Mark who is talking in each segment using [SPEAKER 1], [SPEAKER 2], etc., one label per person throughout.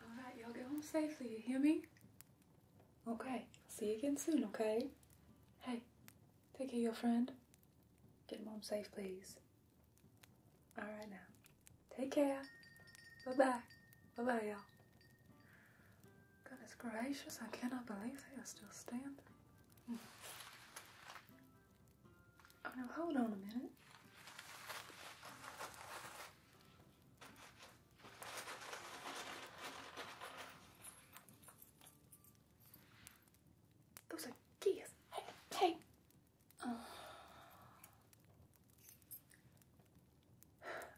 [SPEAKER 1] All right, y'all get home safely, you hear me? Okay, I'll see you again soon, okay? Hey, take care of your friend. Get him home safe, please. All right now. Take care. Bye-bye. Bye-bye, y'all. God is gracious, I cannot believe they are still standing. Oh, now hold on a minute. Those are gifts. Hey, hey.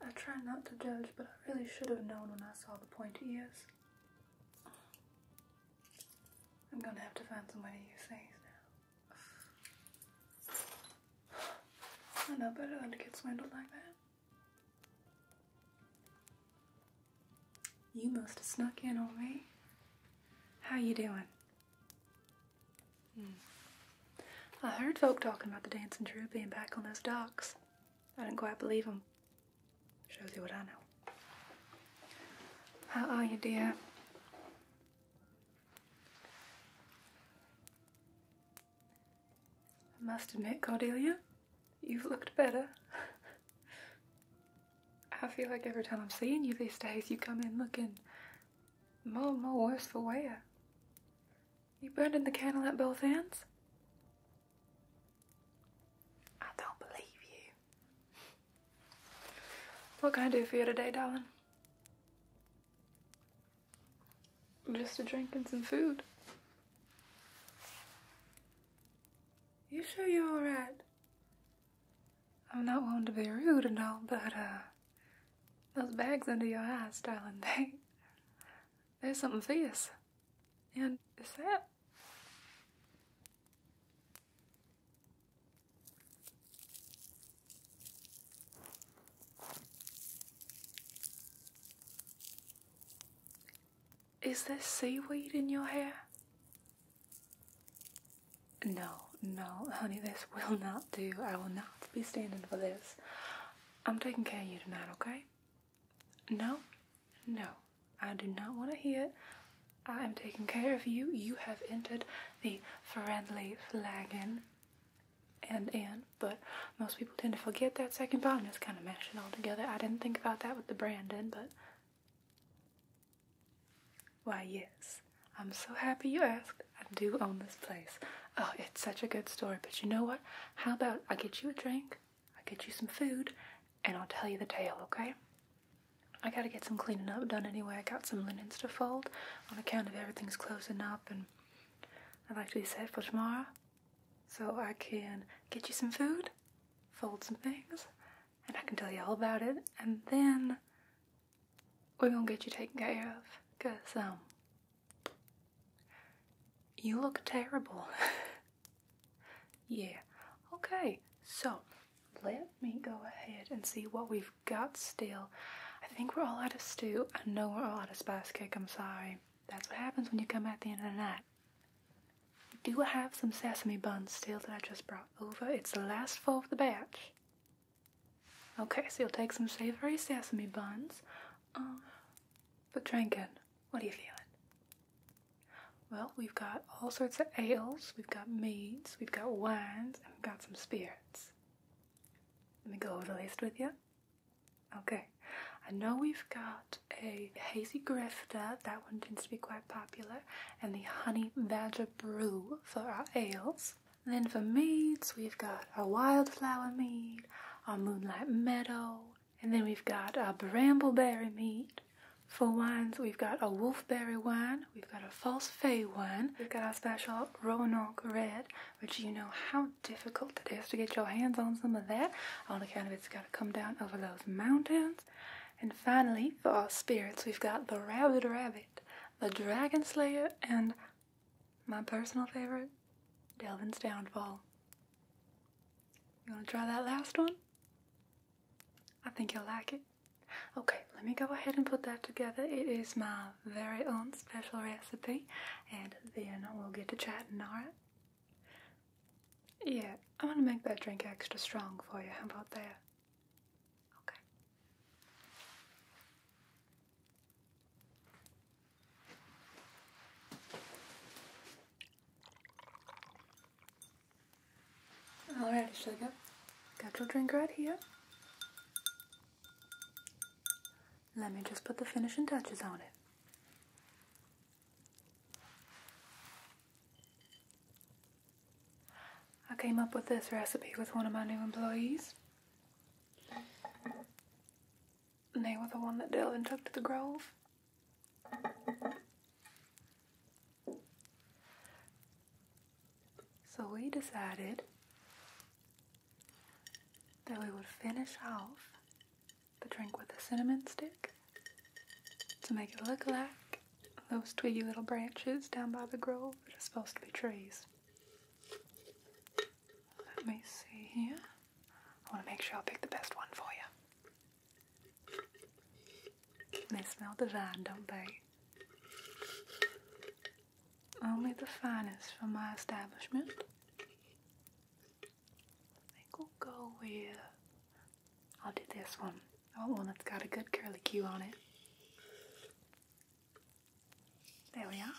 [SPEAKER 1] I try not to judge, but I really should have known when I saw the pointy ears. I'm gonna have to find somebody way to use things now. I know better than to get swindled like that. You must have snuck in on me. How you doing? Hmm. I heard folk talking about the dancing troupe being back on those docks. I didn't quite believe them. Shows you what I know. How are you, dear? I must admit, Cordelia, you've looked better. I feel like every time I'm seeing you these days, you come in looking more and more worse for wear. You burning the candle at both ends? I don't believe you. What can I do for you today, darling? Just a drink and some food. You sure you're alright? I'm not one to be rude and all, but, uh, those bags under your eyes, darling, they. There's something fierce. And is that Is there seaweed in your hair? No, no, honey, this will not do. I will not be standing for this. I'm taking care of you tonight, okay? No, no, I do not want to hear it. I am taking care of you. You have entered the friendly flagon and in. but most people tend to forget that second part and just kind of mash all together. I didn't think about that with the Brandon, but why, yes, I'm so happy you asked. I do own this place. Oh, it's such a good story, but you know what? How about I get you a drink? I'll get you some food and I'll tell you the tale, okay? I gotta get some cleaning up done anyway. I got some linens to fold on account of everything's closing up and I'd like to be set for tomorrow. So I can get you some food, fold some things, and I can tell you all about it. And then we're gonna get you taken care of. Cause, um, you look terrible. Yeah. Okay, so let me go ahead and see what we've got still. I think we're all out of stew. I know we're all out of spice cake. I'm sorry. That's what happens when you come at the end of the night. Do I have some sesame buns still that I just brought over. It's the last four of the batch. Okay, so you'll take some savory sesame buns. Uh, but drink it. What are you feeling? Well, we've got all sorts of ales, we've got meads, we've got wines, and we've got some spirits. Let me go over the list with you. Okay. I know we've got a hazy grifter, that one tends to be quite popular, and the honey badger brew for our ales. then for meads, we've got our wildflower mead, our moonlight meadow, and then we've got a brambleberry mead. For wines, we've got a wolfberry wine, we've got a false fay wine, we've got our special Roanoke Red, which you know how difficult it is to get your hands on some of that on account of it's got to come down over those mountains. And finally, for our spirits, we've got the Rabbit Rabbit, the Dragon Slayer, and my personal favorite, Delvin's Downfall. You want to try that last one? I think you'll like it. Okay, let me go ahead and put that together. It is my very own special recipe, and then we'll get to chatting, alright? Yeah, I want to make that drink extra strong for you. How about that? Okay. Alright, sugar. Got your drink right here. Let me just put the finishing touches on it. I came up with this recipe with one of my new employees. they were the one that Dylan took to the Grove. So we decided that we would finish off the drink with a cinnamon stick to make it look like those twiggy little branches down by the grove that are supposed to be trees. Let me see here. I want to make sure I pick the best one for you. They smell divine, don't they? Only the finest from my establishment. I we'll go with. I'll do this one. I oh, one that's got a good curly cue on it. There we are.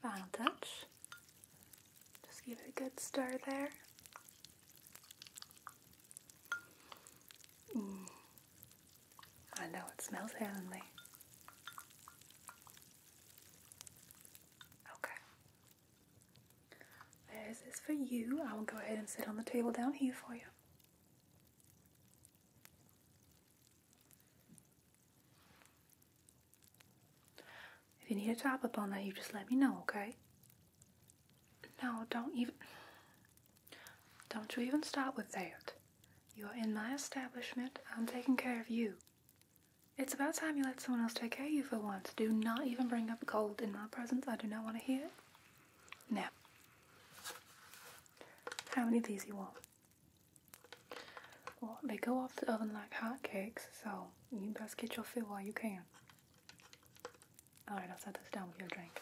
[SPEAKER 1] Final touch. Just give it a good stir there. Mm. I know it smells heavenly. Okay. There's this for you. I will go ahead and sit on the table down here for you. If you need a top up on that, you just let me know, okay? No, don't even. Don't you even start with that. You are in my establishment. I'm taking care of you. It's about time you let someone else take care of you for once. Do not even bring up cold in my presence. I do not want to hear it. Now, how many of these you want? Well, they go off the oven like hotcakes, so you best get your fill while you can. Alright, I'll set this down with your drink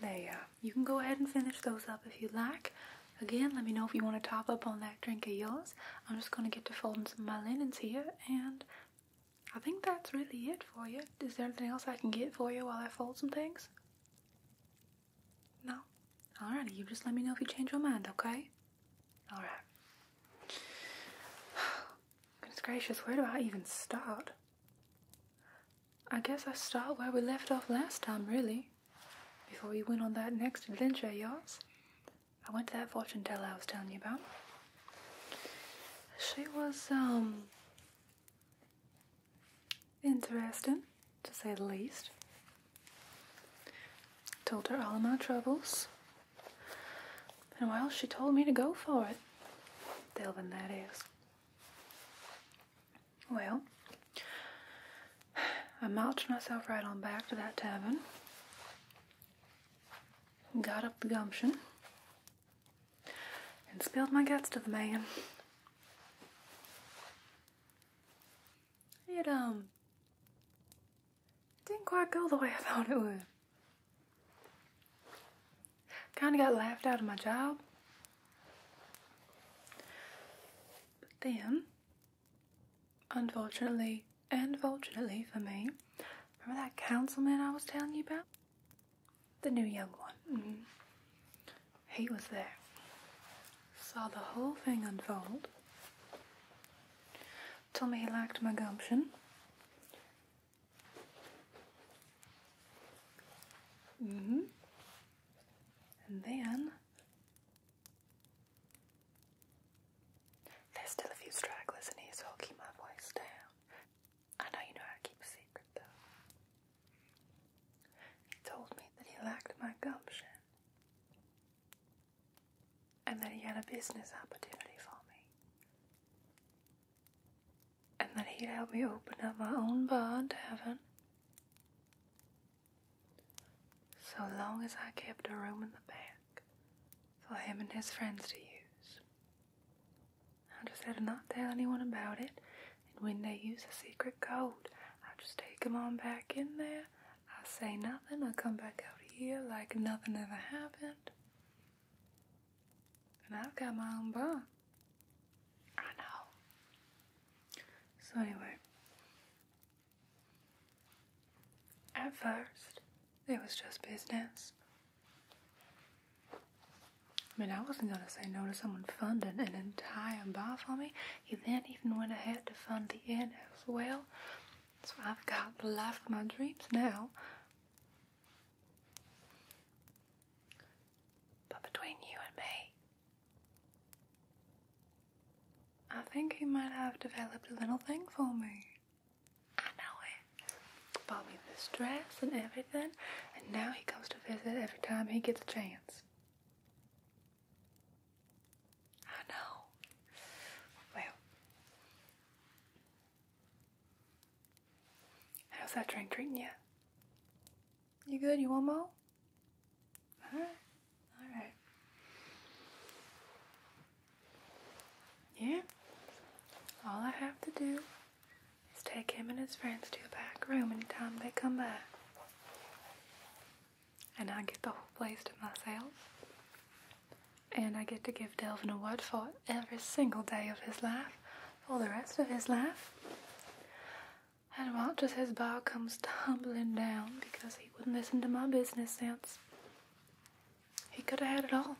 [SPEAKER 1] there you can go ahead and finish those up if you like again let me know if you want to top up on that drink of yours i'm just going to get to folding some of my linens here and i think that's really it for you is there anything else i can get for you while i fold some things no alrighty you just let me know if you change your mind okay alright goodness gracious where do i even start I guess I start where we left off last time, really. Before we went on that next adventure of yours. I went to that fortune teller I was telling you about. She was, um, interesting, to say the least. Told her all of my troubles. And while she told me to go for it. Delvin, that is. Well, I marched myself right on back to that tavern, got up the gumption, and spilled my guts to the man. It, um, didn't quite go the way I thought it would. Kind of got laughed out of my job, but then, unfortunately, unfortunately for me, remember that councilman I was telling you about? The new young one. Mm-hmm. He was there. Saw the whole thing unfold. Told me he liked my gumption. hmm and then there's still a few stragglers in here, so I'll keep my voice down. I know you know how keep a though. He told me that he liked my gumption and that he had a business opportunity for me, and that he'd help me open up my own bar and tavern so long as I kept a room in the back for him and his friends to use. I just had to not tell anyone about it, and when they use a secret code, I just take 'em on back in there. I say nothing, I come back out here like nothing ever happened. And I've got my own bar. I know. So, anyway, at first, it was just business. I mean, I wasn't gonna say no to someone funding an entire bar for me. He then even went ahead to fund the inn as well. So I've got the life of my dreams now. But between you and me, I think he might have developed a little thing for me. I know it. Bought me this dress and everything, and now he comes to visit every time he gets a chance. I know. Well, how's that drink treating you? You good? You want more? Alright. Alright. Yeah? All I have to do is take him and his friends to a back room anytime they come back, And I get the whole place to myself. And I get to give Delvin a word for every single day of his life, for the rest of his life and watches his bar comes tumbling down because he wouldn't listen to my business sense. He could have had it all.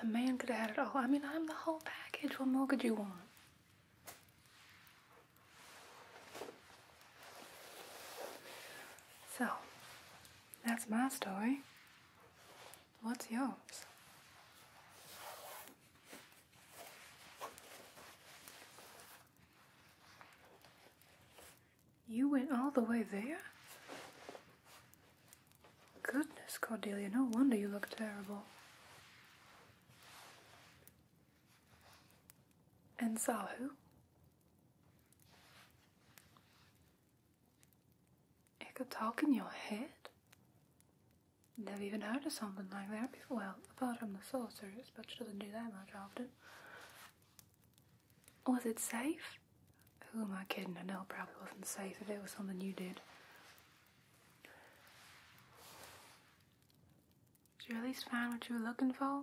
[SPEAKER 1] The man could have had it all. I mean, I'm the whole package. What more could you want? So, that's my story. What's yours? You went all the way there? Goodness, Cordelia, no wonder you look terrible. And so, who? It could talk in your head? Never even heard of something like that before. Well, apart from the sorceress, but she doesn't do that much often. Was it safe? Who am I kidding? I know it probably wasn't safe if it was something you did. Did you at least find what you were looking for?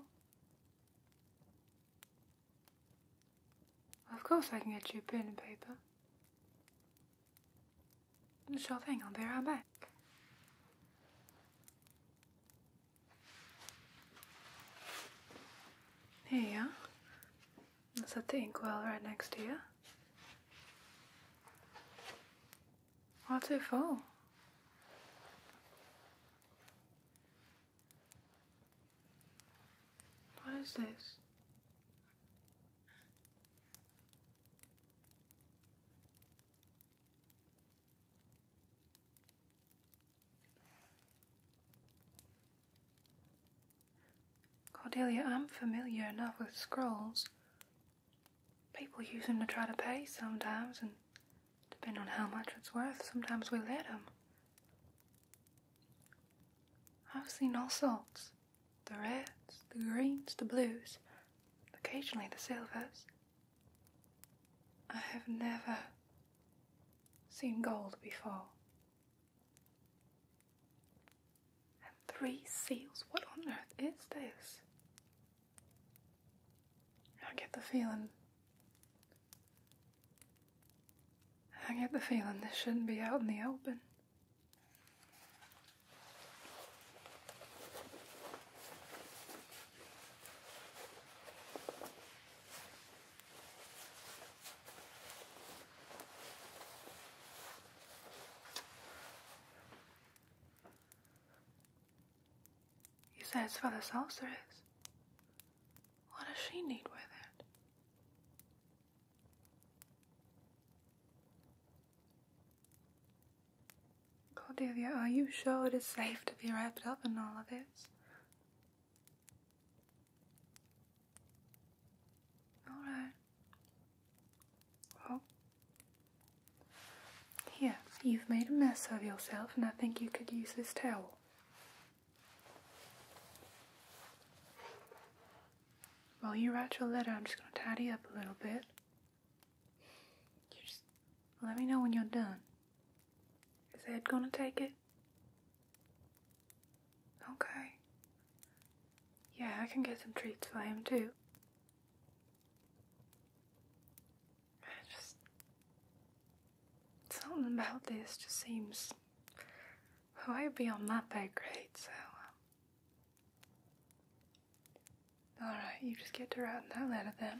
[SPEAKER 1] Of course I can get you a pen and paper. Sure thing. I'll be right back. Here you are. Is that the inkwell right next to you? What's it for? What is this? Cordelia, I'm familiar enough with scrolls. People use them to try to pay sometimes, and depending on how much it's worth, sometimes we let them. I've seen all sorts the reds, the greens, the blues, occasionally the silvers. I have never seen gold before. And three seals? What on earth is this? I get the feeling. I get the feeling this shouldn't be out in the open. You said it's for the sorceress. What does she need with it? Cordelia, are you sure it is safe to be wrapped up in all of this? Alright. Well, here, you've made a mess of yourself, and I think you could use this towel. While you write your letter, I'm just going to tidy up a little bit just let me know when you're done. Is Ed gonna take it? Okay. Yeah, I can get some treats for him too. just. Something about this just seems way oh, beyond my pay grade, so. Um, Alright, you just get to writing that letter then.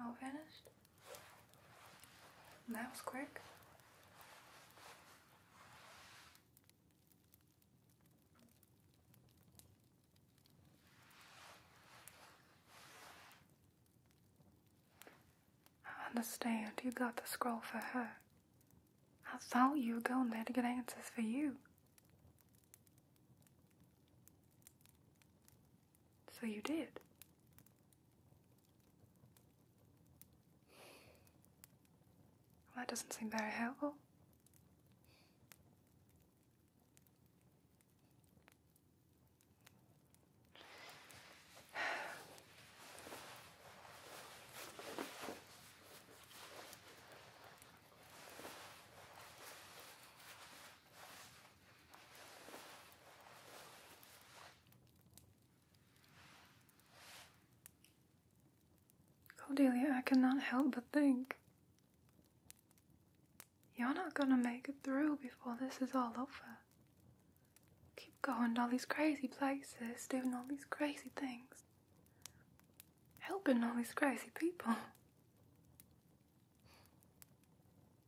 [SPEAKER 1] All finished? That was quick. I understand. You got the scroll for her. I thought you were going there to get answers for you. So you did. that doesn't seem very helpful. Cordelia, I cannot help but think. You're not gonna make it through before this is all over. Keep going to all these crazy places, doing all these crazy things, helping all these crazy people.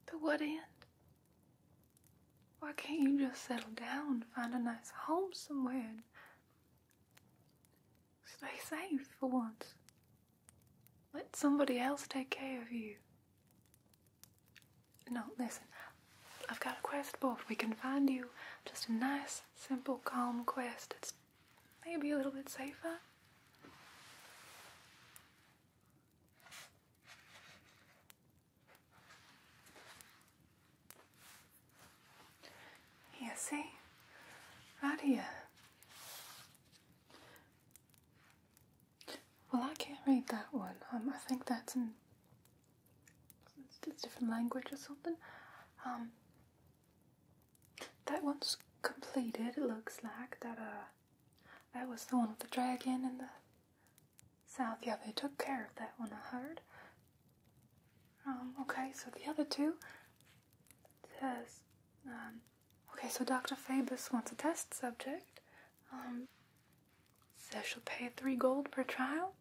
[SPEAKER 1] To what end? Why can't you just settle down and find a nice home somewhere and stay safe for once? Let somebody else take care of you. No, listen. I've got a quest for board. We can find you just a nice, simple, calm quest. It's maybe a little bit safer. Yes, see? Right here. Well, I can't read that one. Um, I think that's in it's different language or something. Um, that one's completed, it looks like. That, uh, that was the one with the dragon in the south. Yeah, they took care of that one, I heard. Um, okay, so the other two says, um, okay, so Dr. Fabus wants a test subject. says um, she'll pay three gold per trial.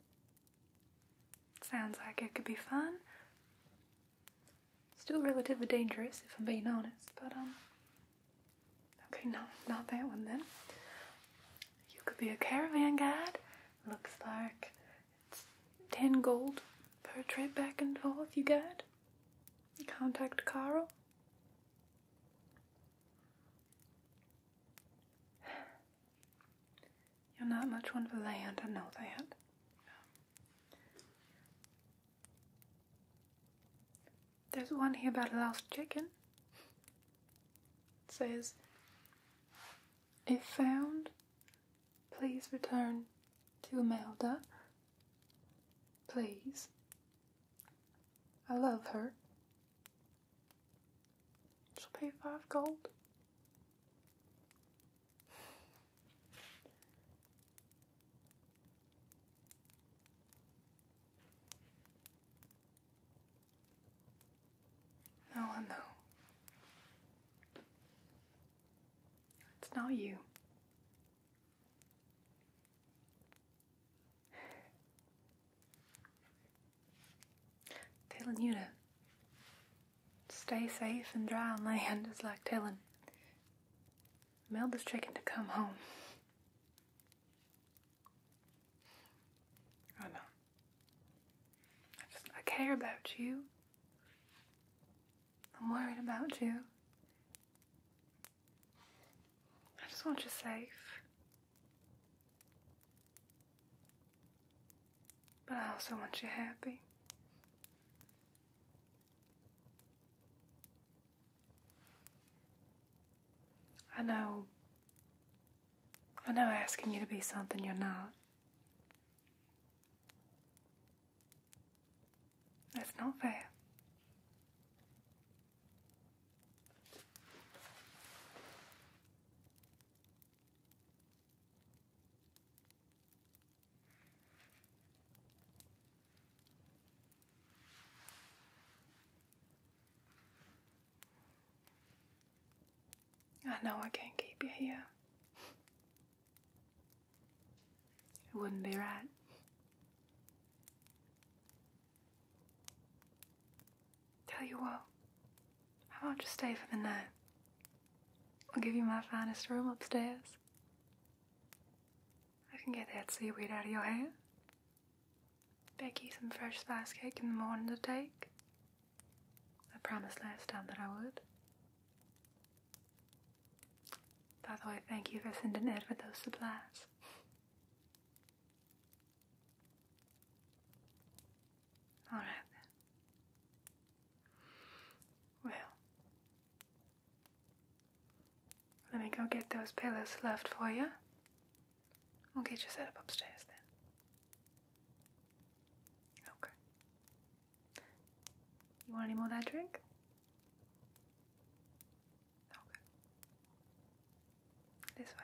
[SPEAKER 1] Sounds like it could be fun. Still relatively dangerous, if I'm being honest, but, um, Okay, no, not that one then. You could be a caravan guide. Looks like it's 10 gold Portrait back and forth you got. Contact Carol. You're not much one for land, I know that. There's one here about a lost chicken. It says, If found, please return to Imelda. Please. I love her. She'll pay five gold. No, I It's not you. Telling you to stay safe and dry on land is like telling this chicken to come home. I know. I just I care about you. I'm worried about you. I just want you safe. But I also want you happy. I know. I know asking you to be something you're not. its not fair. I know I can't keep you here. It wouldn't be right. Tell you what, I about just stay for the night? I'll give you my finest room upstairs. I can get that seaweed out of your hair. Becky some fresh spice cake in the morning to take. I promised last time that I would. By the way, thank you for sending Ed with those supplies. All right Well, let me go get those pillows left for you. We'll get you set up upstairs then. Okay. You want any more of that drink? Okay. This way.